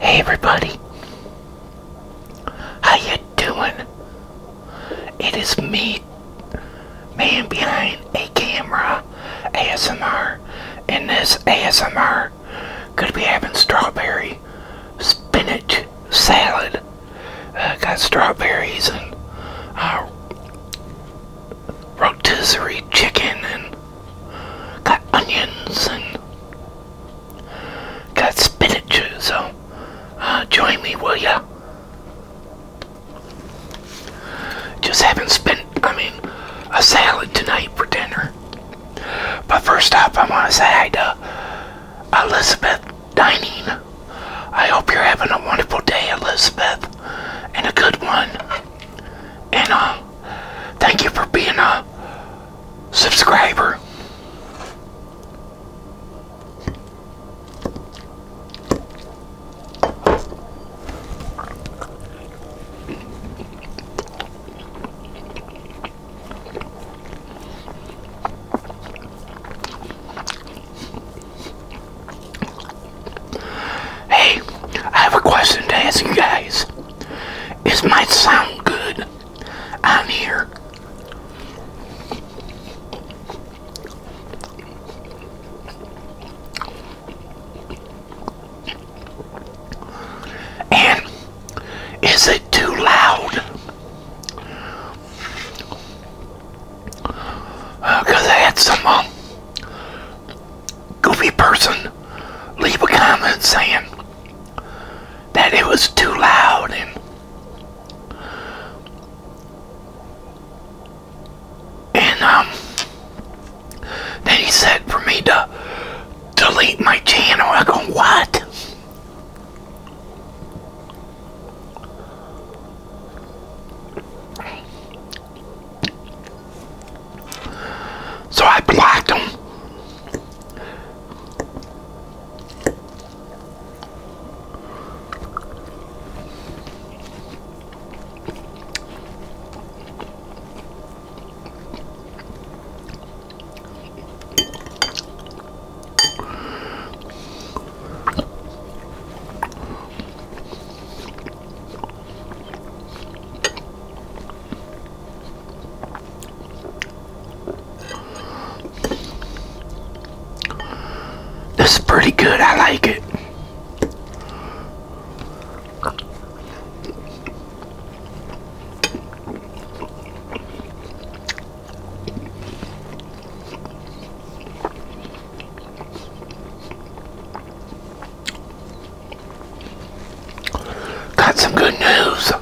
Hey everybody. How you doing? It is me, man behind a camera, ASMR, and this ASMR could be having strawberry spinach salad. Uh, got strawberries and uh, rotisserie chicken and got onions and got spinach, so uh, join me, will ya? Just haven't spent, I mean, a salad tonight for dinner. But first off, I want to say hi to Elizabeth Dining. I hope you're having a wonderful day, Elizabeth, and a good one. And, um, thank you for being a subscriber. Hey, I have a question to ask you guys. Is might sound good on here? And is it too loud? Because uh, I had some um, goofy person leave a comment saying that it was too loud and um then he said for me to delete my channel. I go, what? So I blocked him. This is pretty good. I like it. Got some good news.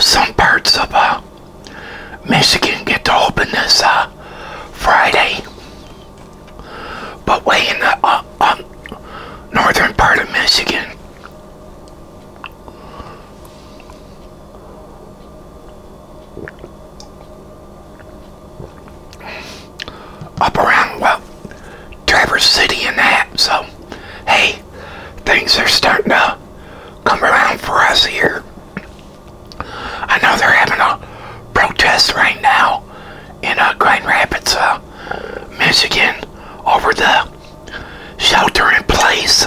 some parts of uh, Michigan get to open this uh, Friday, but way in the uh, northern part of Michigan up around, well, Traverse City and that. So, hey, things are starting to come around for us here. I know they're having a protest right now in uh, Grand Rapids, uh, Michigan, over the shelter in place.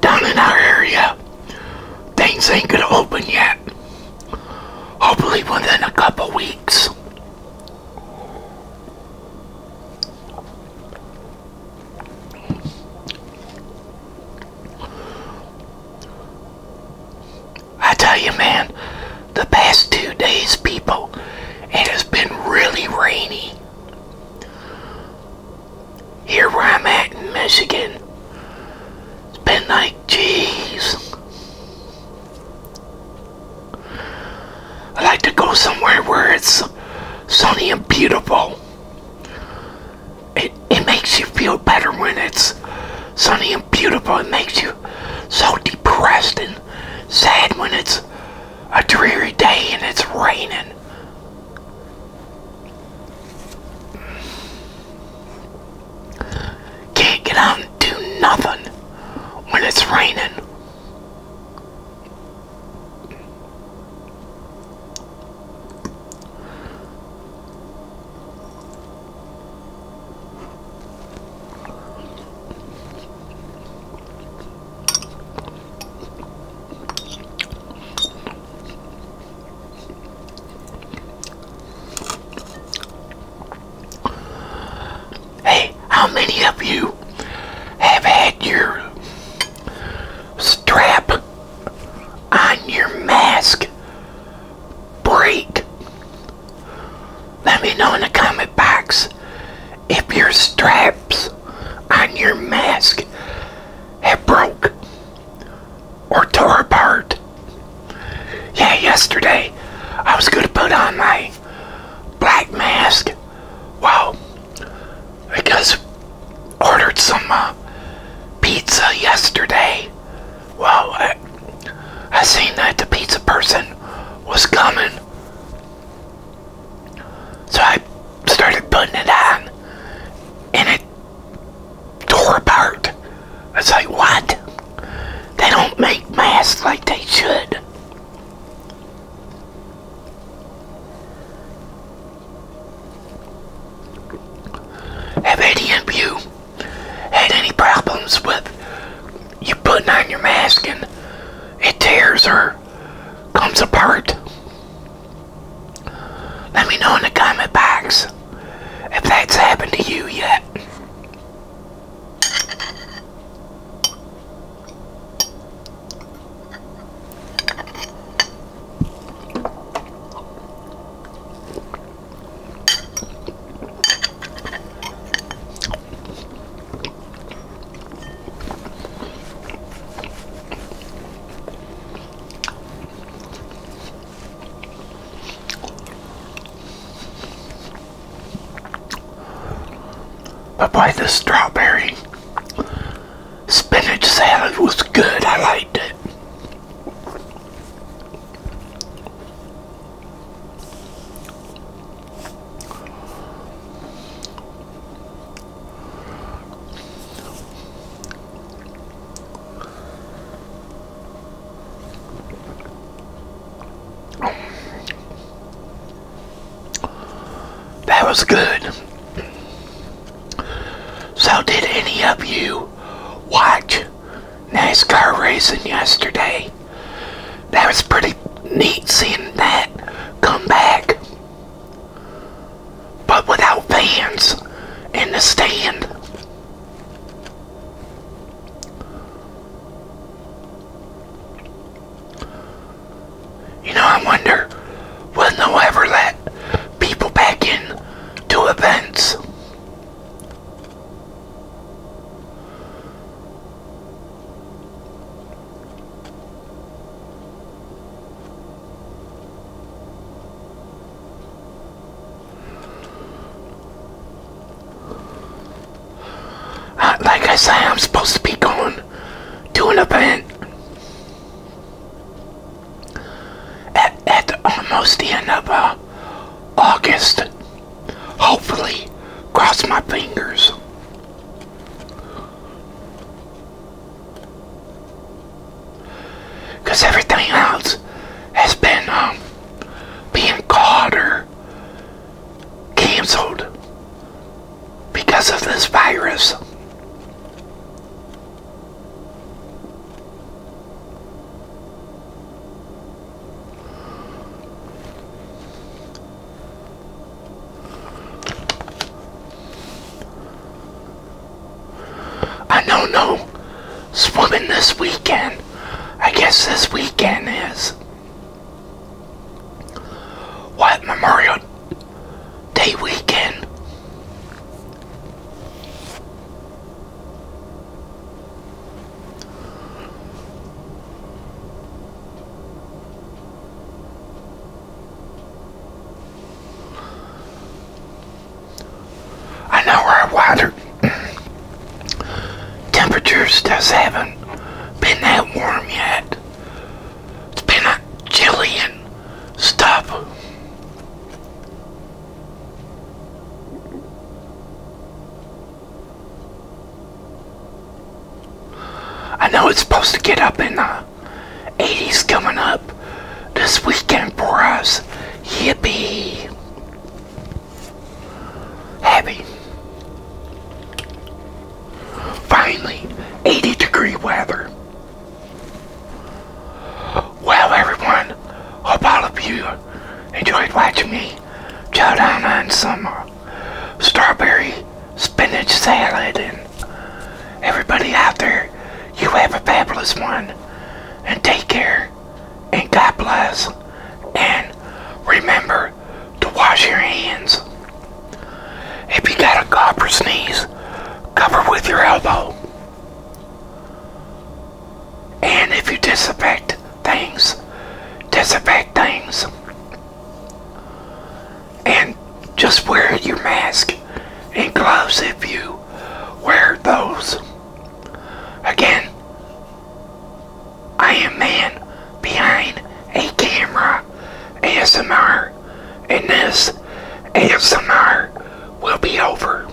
Down in our area, things ain't gonna open yet. Hopefully within a couple weeks. I tell you, man, the past two days, people. It has been really rainy. Here where I'm at in Michigan, it's been like, jeez. I like to go somewhere where it's sunny and beautiful. It, it makes you feel better when it's sunny and beautiful. It makes you so depressed and sad when it's a dreary day and it's raining. Can't get out do nothing when it's raining. Hey, how many of you have had your strap on your mask break? Let me know in the comment box if your straps on your mask have broke or tore apart. Yeah, yesterday I was going to put on my black mask. Well, because ordered some uh, pizza yesterday. Well, I seen that the pizza person was coming. So I started putting it on and it tore apart. I was like, what? They don't make masks like they should. Have any of you had any problems with you putting on your mask and it tears or comes apart, let me know in the comment box if that's happened to you yet. But by the strawberry spinach salad was good. I liked it. That was good. So, did any of you watch NASCAR racing yesterday. That was pretty neat seeing that come back. But without fans in the stand. You know, I wonder, when they will ever let people back in to events? Uh, like I say, I'm supposed to be going to an event at, at almost the end of uh, August. Hopefully, cross my fingers. Because everything else has been um, being caught or canceled because of this virus. I don't know swimming this weekend. I guess this weekend is what Memorial Day weekend. I know where our water temperatures just haven't been that warm yet. It's been a chilly and stuff. I know it's supposed to get up in the 80s coming up this weekend for us. Yippee! Happy. Finally, 80 degree weather. Well, everyone, hope all of you enjoyed watching me chow down on some strawberry spinach salad. And everybody out there, you have a fabulous one. And take care. And God bless. And remember to wash your hands. If you got a cough sneeze, cover with your elbow. And if you disinfect things, disinfect things. And just wear your mask and gloves if you wear those. Again, I am man behind a camera ASMR and this ASMR will be over.